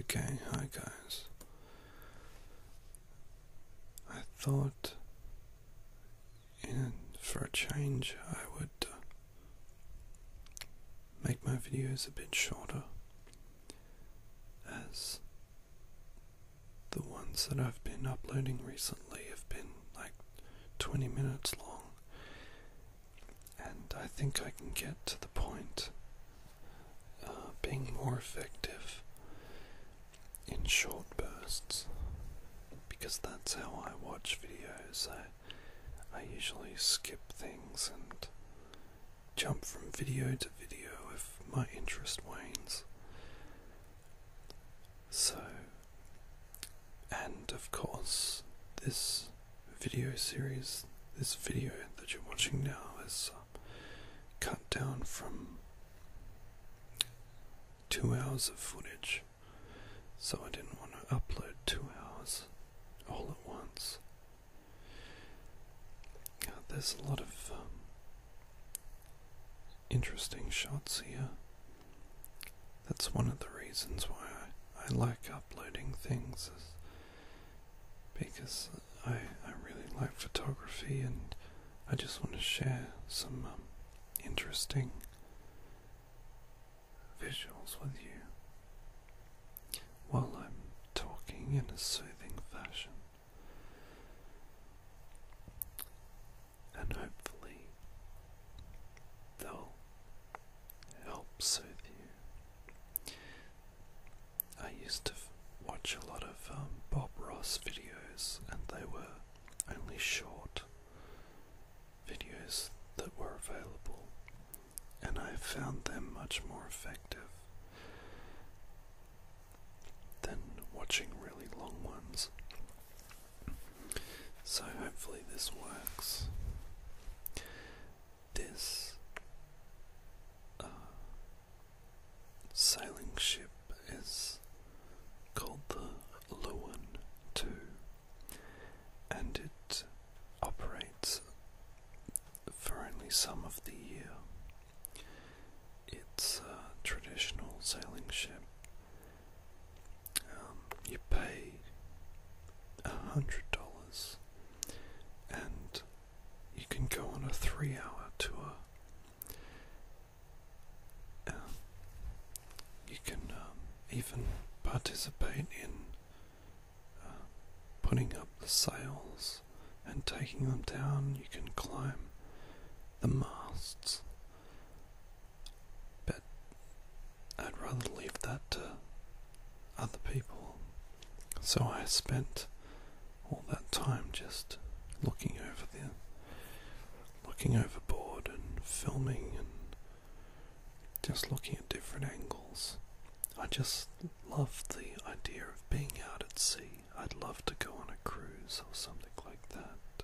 Okay, hi guys. I thought for a change I would uh, make my videos a bit shorter as the ones that I've been uploading recently have been like 20 minutes long, and I think I can get to the point uh, being more effective in short bursts because that's how I watch videos. I, I usually skip things and jump from video to video if my interest wanes. So, and of course, this video series, this video that you're watching now, is uh, cut down from two hours of footage. So, I didn't want to upload two hours all at once. there's a lot of um, interesting shots here. That's one of the reasons why I, like uploading things, because I, I really like photography and I just want to share some um, interesting visuals with you while I'm talking in a soothing fashion and hopefully they'll help soothe you. I used to watch a lot of um, Bob Ross videos, and they were only short videos that were available and I've found them much more effective than watching really long ones. So hopefully this works. This uh, sailing ship is called the Lewin too and it operates for only some of the year. It's a traditional sailing ship. Um, you pay a hundred dollars and you can go on a three hour tour. Um, you can um, even participate in uh, putting up the sails and taking them down, you can climb the masts. But I'd rather leave that to other people. So I spent all that time just looking over there, looking overboard and filming and just looking at different angles. I just love the idea of being out at sea. I'd love to go on a cruise or something like that.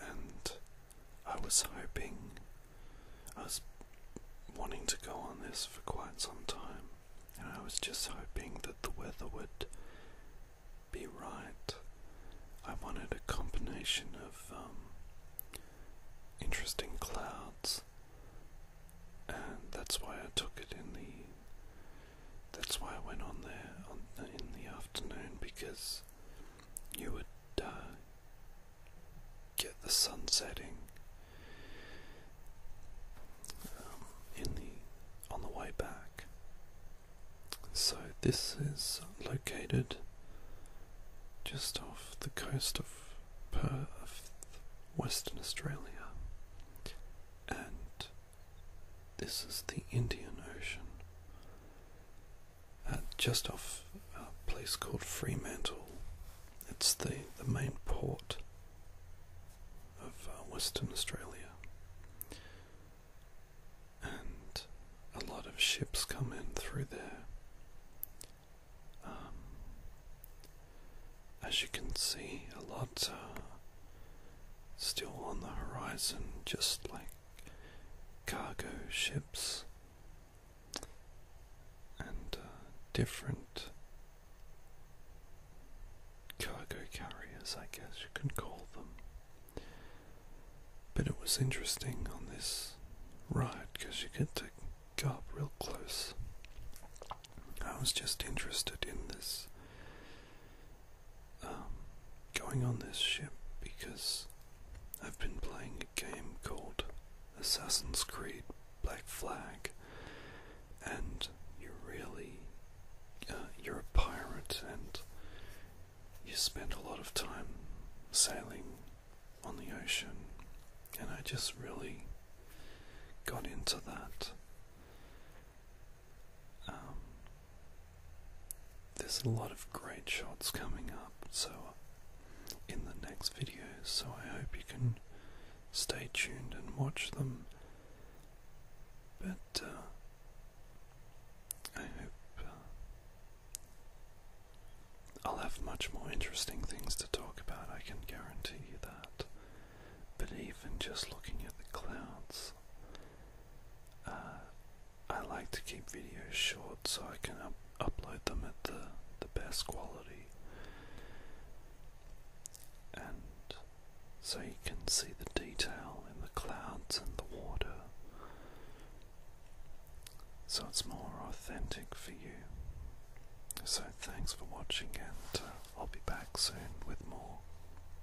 And I was hoping, I was wanting to go on this for quite some time, and I was just hoping that the weather would be right. I wanted a combination of um, interesting clouds, and that's why I took it in the. That's why I went on there in the afternoon because you would uh, get the sun setting on the way back. So this is located just off the coast of Perth, Western Australia, and this is the Indian Ocean, uh, just off a place called Fremantle. It's the the main port of uh, Western Australia. And a lot of ships come in through there. Um, as you can see, a lot uh, still on the horizon, just like cargo ships and uh, different cargo carriers, I guess you can call them. But it was interesting on this ride because you get to go up real close. I was just interested in this um, going on this ship because I've been playing a game called Assassin's Creed Black Flag, and you're really uh, you're a pirate, and you spend a lot of time sailing on the ocean, and I just really got into that. Um, there's a lot of great shots coming up, so in the next videos, so I hope you can stay tuned and watch them. But uh, I hope uh, I'll have much more interesting things to talk about, I can guarantee you that. But even just looking at the clouds, uh, I like to keep videos short so I can upload them at the, the best quality. And so you can see the detail in the clouds and the water. So it's more authentic for you. So thanks for watching, and uh, I'll be back soon with more.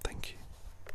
Thank you.